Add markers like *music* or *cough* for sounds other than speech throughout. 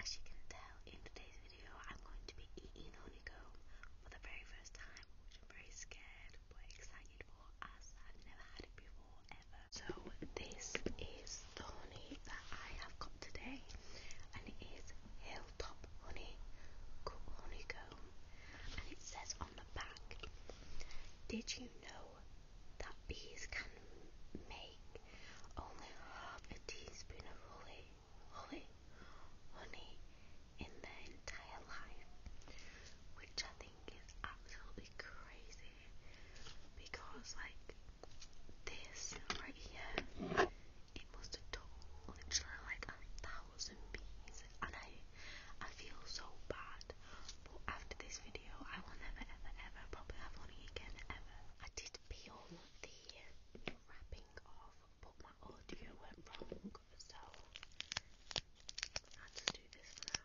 As you can tell, in today's video, I'm going to be eating honeycomb for the very first time, which I'm very scared but excited for I've never had it before ever. So, this is the honey that I have got today, and it is Hilltop Honey Honeycomb, and it says on the back, Did you know that bees can make only half a teaspoon of honey? only, only in their entire life, which I think is absolutely crazy because, like, this right here, it must have done literally like a thousand bees, and I, I feel so bad. But after this video, I will never, ever, ever probably have money again ever. I did peel the wrapping off, but my audio went wrong, so i just do this now.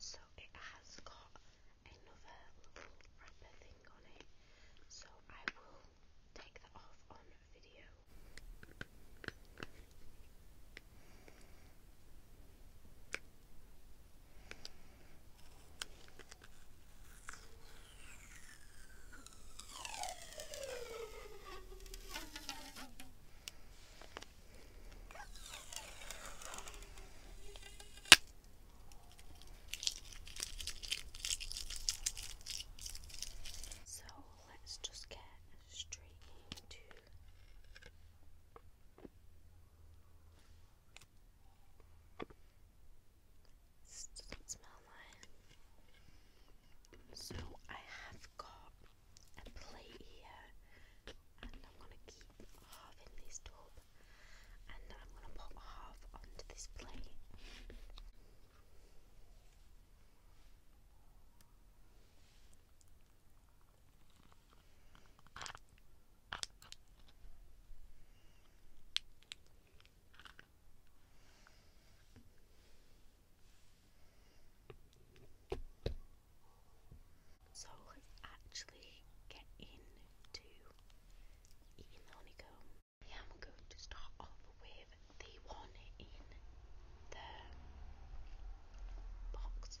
So it has got another little wrapper thing on so I will take that off on video. So let's just get straight into smell nice. So I have got a plate here and I'm gonna keep half in this tub and I'm gonna put half onto this plate. So let actually get into eating honeycomb. I am going to start off with the one in the box.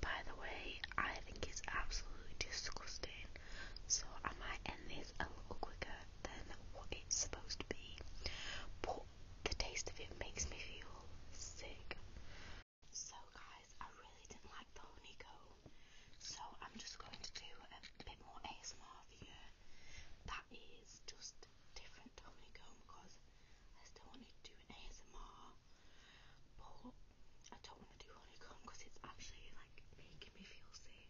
By the way, I think it's absolutely disgusting, so I might end this a little quicker than what it's supposed to be, but the taste of it makes me feel sick. So, guys, I really didn't like the honeycomb, so I'm just going to do a bit more ASMR for you. That is just different to honeycomb because I still want to do an ASMR, but I don't want to do honeycomb because it's actually like big making me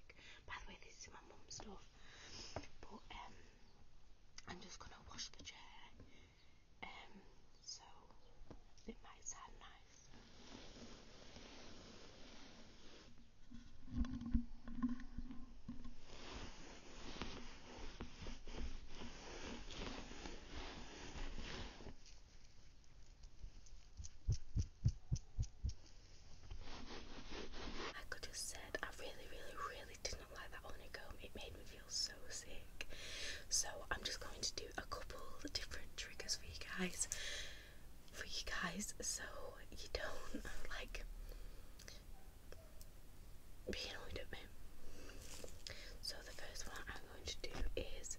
By the way, this is my mum's stuff. But um, I'm just gonna wash the chair. Um, so it might sound nice. I could have said I really, really, really did not like that honeycomb. It made me feel so sick. So I'm just going to do a couple different triggers for you guys, for you guys, so you don't *laughs* like be annoyed at me. So the first one I'm going to do is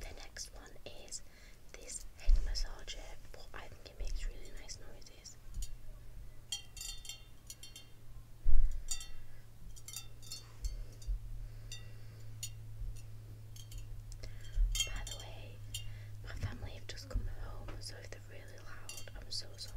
The next one is this head massager, by the way, my family have just come home, so if they're really loud, I'm so sorry.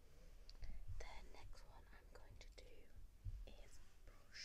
The next one I'm going to do is brush.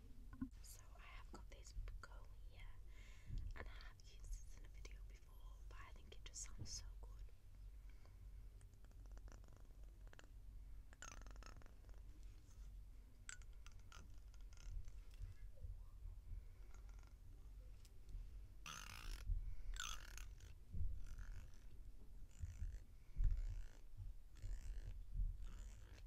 So I have got this Begonia and I have used this in a video before but I think it just sounds so good.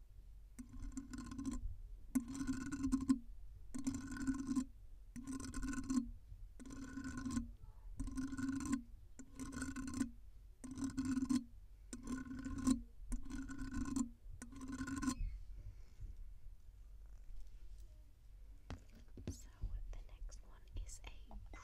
So the next one is a brush.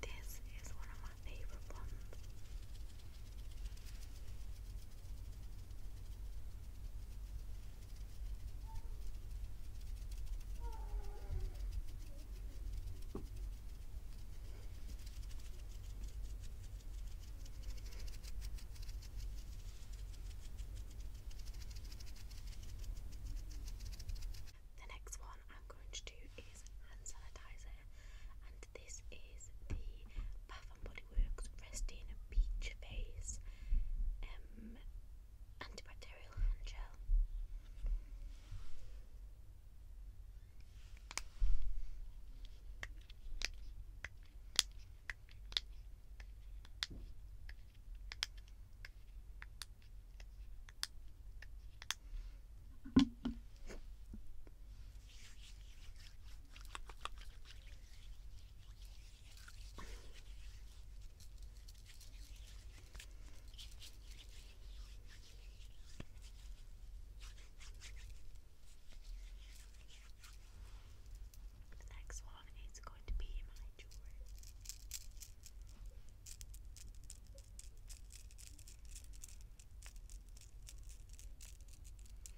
This is one of my favorite ones. The next one I'm going to do is hand sanitizer, and this is the and Body a beach Peach Face um, Antibacterial Hand Gel. The next one is going to be my jewelry.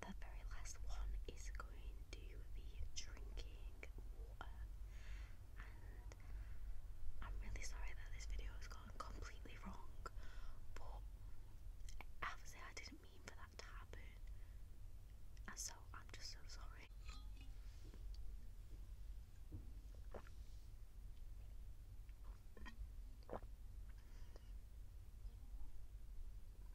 the very last one is going to be drinking water. And I'm really sorry that this video has gone completely wrong, but obviously I didn't mean for that to happen. so I'm just so sorry.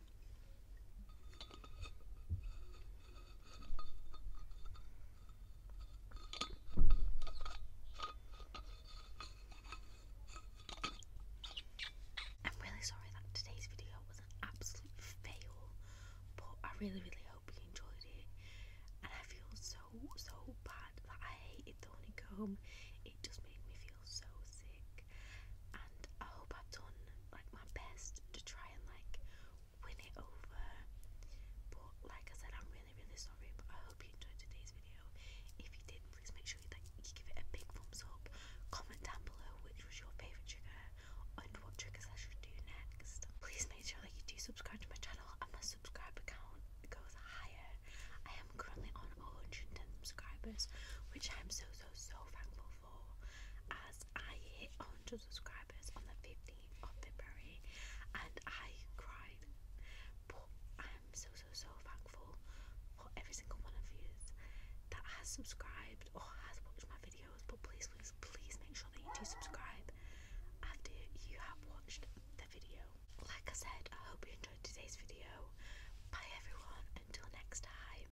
I'm really sorry that today's video was an absolute fail, but I really, really hope you enjoyed it. And I feel so, so bad that I hated the honeycomb. It just made me feel so sick and I hope I've done like my best to try and like win it over but like I said I'm really really sorry but I hope you enjoyed today's video if you did please make sure you you give it a big thumbs up comment down below which was your favourite trigger and what triggers I should do next please make sure that you do subscribe to my channel and my subscriber count goes higher I am currently on 110 subscribers which I'm so so so thankful for as I hit 100 subscribers on the 15th of February and I cried. I'm so, so, so thankful for every single one of you that has subscribed or has watched my videos. But please, please, please make sure that you do subscribe after you have watched the video. Like I said, I hope you enjoyed today's video. Bye everyone, until next time.